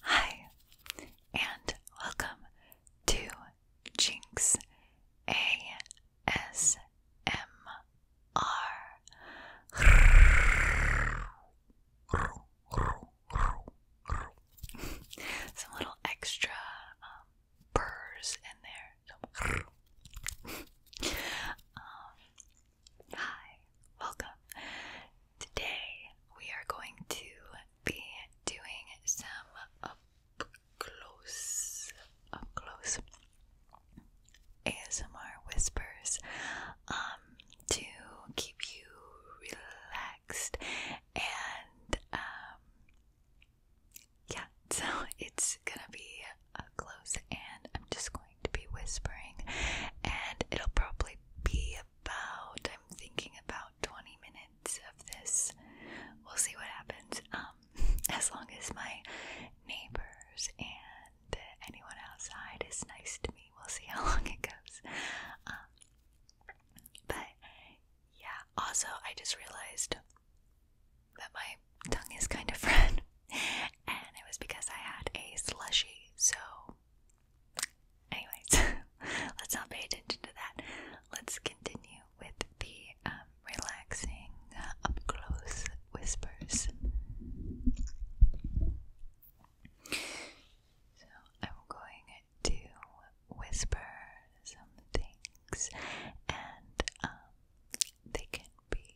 Hi, and welcome to Jinx ASMR. Some little extra um, burrs in there. Um, Hi, welcome. Today we are going to be doing some up close, up close ASMR whispers um, to keep you relaxed and um, yeah, so it's gonna be up close and I'm just going to be whispering and it'll probably be about I'm thinking about 20 minutes of this. We'll see what happens. Um as long as my neighbors and anyone outside is nice to me, we'll see how long it goes. Um but yeah, also I just realized that my tongue is kind of red and it was because I had a slushy. So, anyways, let's not pay attention to that. Let's continue with the um, relaxing, up close whispers. So, I'm going to whisper some things, and um, they can be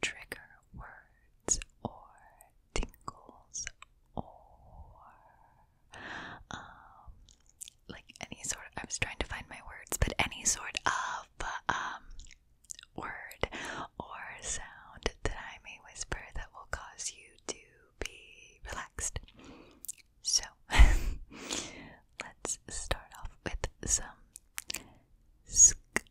trigger words or tingles or um, like any sort of, I was trying to find my words, but any sort of um word or sound that I may whisper that will cause you to be relaxed. So let's start off with some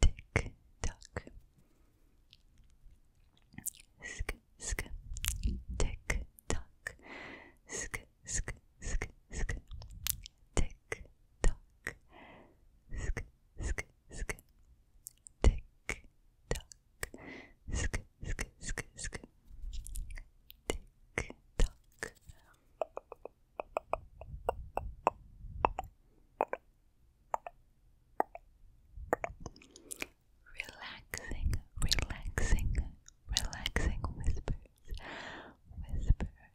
tick tock. Sk sk tick tock. Sk sk sk sk tick tock. Sk sk sk tick tock. Sk sk sk sk tick tock. Relaxing, relaxing, relaxing whispers,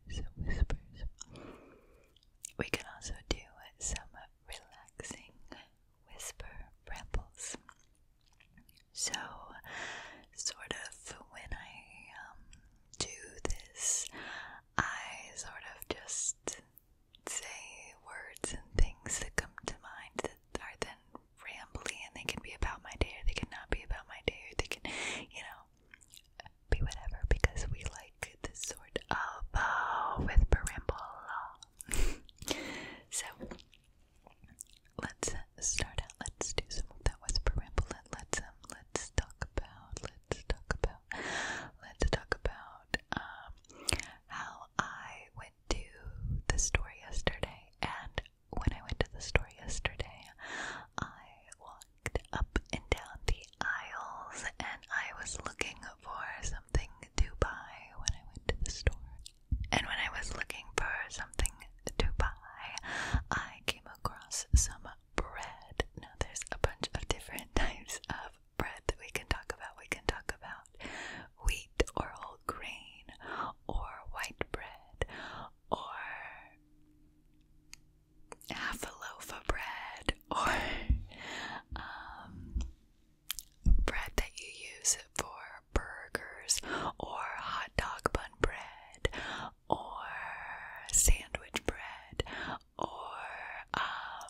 whispers, whispers. We can also do some relaxing whisper rambles. So, sort of when I um, do this, I sort of just say words and things that come to mind that are then rambling, and they can be about my day or they can not be about my day or they can, you know, be whatever because we like this sort of uh, with parambola. so let's uh, start out. Let's do some of that with parambola. Let's um, let's talk about. Let's talk about. Let's talk about um, how I went to the store yesterday, and when I went to the store yesterday, I walked up and down the aisles, and I was looking for something to buy when I went to the store. And when I was looking for something to buy, I came across some bread. Now, there's a bunch of different types of bread that we can talk about. We can talk about wheat or whole grain or white bread or half a loaf of bread or um, bread that you use for burgers or hot dog bun bread or sandwich bread or um,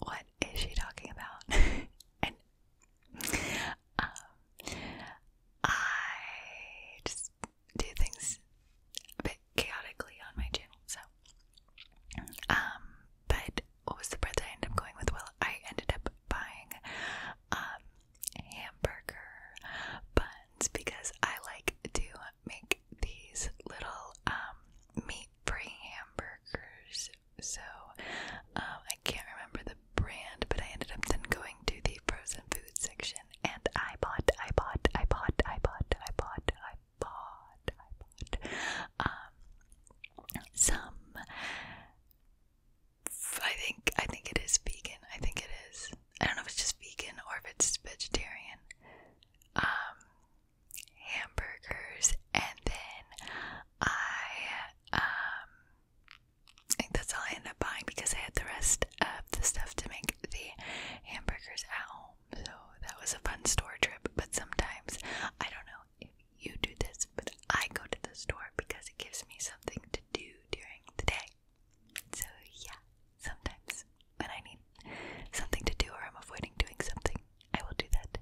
what is she talking about? and um, I just do things a bit chaotically on my channel, so um, but what was the bread that I ended up going with? Well, I ended up buying um hamburger buns because I like to make these little um meat free hamburgers so um, I can't remember the brand, but I ended up then going to the frozen food section, and I bought, I bought, I bought, I bought, I bought, I bought, I bought, um, some. I think, I think it is vegan. I think it is. I don't know if it's just vegan or if it's vegetarian. Um, hamburgers, and then I um I think that's all I end up buying because I had the rest of the stuff to make the hamburgers at home. So that was a fun store trip. But sometimes I don't know if you do this, but I go to the store because it gives me something to do during the day. So yeah, sometimes when I need something to do or I'm avoiding doing something, I will do that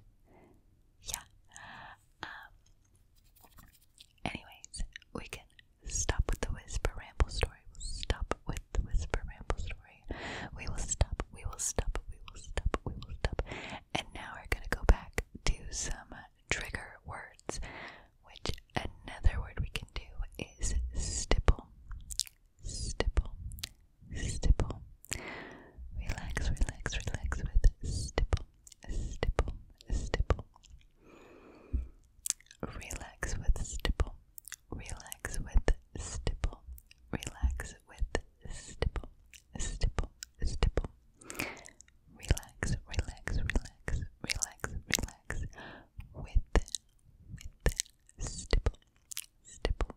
yeah. Um, anyways, we can stop with the whisper ramble story. We'll stop with the whisper ramble story. We will stop, we will stop, we will stop, we will stop. And now we're gonna go back to some trigger words, which another word we can do is stipple. Stipple, stipple. Relax, relax, relax with stipple, stipple, stipple. Relax with stipple. Relax with stipple. Relax with stipple. Stipple, stipple. Relax, relax, relax, relax, relax. With, with stipple, stipple,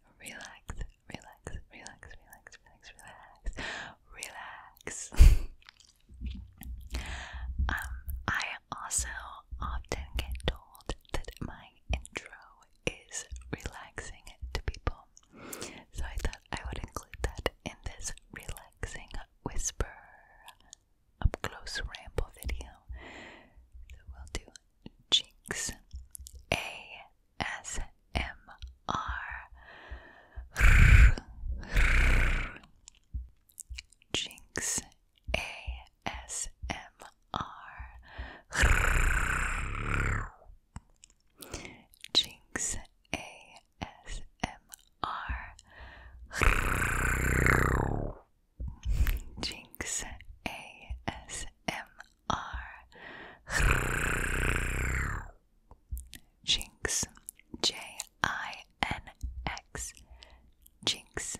relax, relax, relax, relax, relax, relax, relax. um, I also often get told that my intro is relaxing to people, so I thought I would include that in this relaxing whisper up close ramble video. So we'll do Jinx A S M R, Jinx ASMR. Jinx ASMR. Jinx ASMR. R. Jinx. J I N X. Jinx.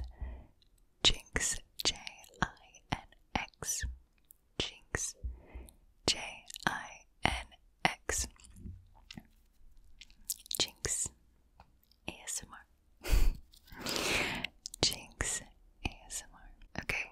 Jinx. J I N X. Jinx. J I N X. Jinx. ASMR. Jinx. ASMR. Okay,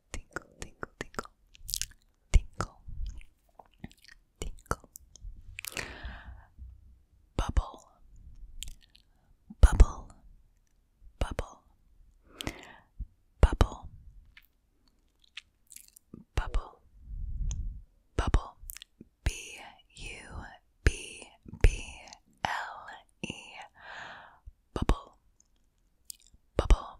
tinkle, tinkle, tinkle, tinkle, tinkle, bubble, bubble, bubble, bubble, bubble, bubble, b u b b l e, bubble. Bubble,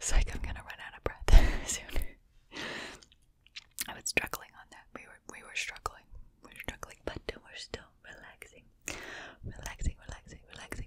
It's like I'm gonna run out of breath soon. I was struggling on that. We were we were struggling. We we're struggling, but we're still relaxing. Relaxing, relaxing, relaxing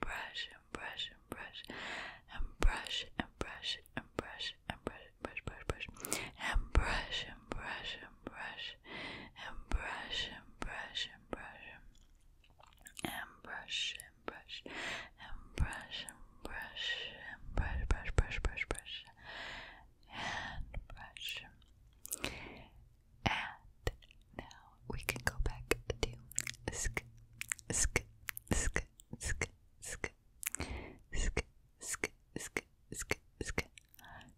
brush and brush and brush and brush and brush and brush and brush and brush brush brush and brush and brush and brush and brush and brush and brush and brush and brush and brush and brush and brush brush brush brush brush and brush and now we can go back to sk sk sk sk sk, sk, sk, sk, sk, sk,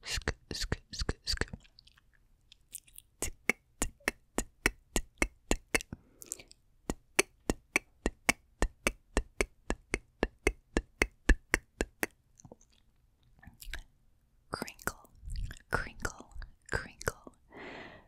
sk, sk, sk, sk. Tick, tick, tick, tick, tick. Crinkle, crinkle, crinkle,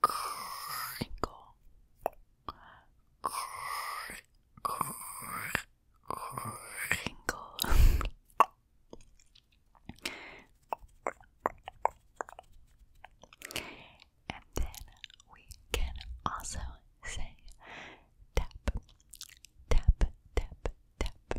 crinkle, crinkle, and then we can also say tap, tap, tap, tap,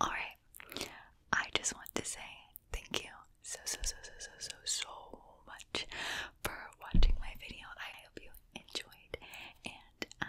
All right. I just want to say thank you so so so so so so so much for watching my video. I hope you enjoyed and um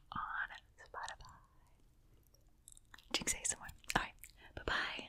on Spotify. Jinx ASMR. Alright, bye bye.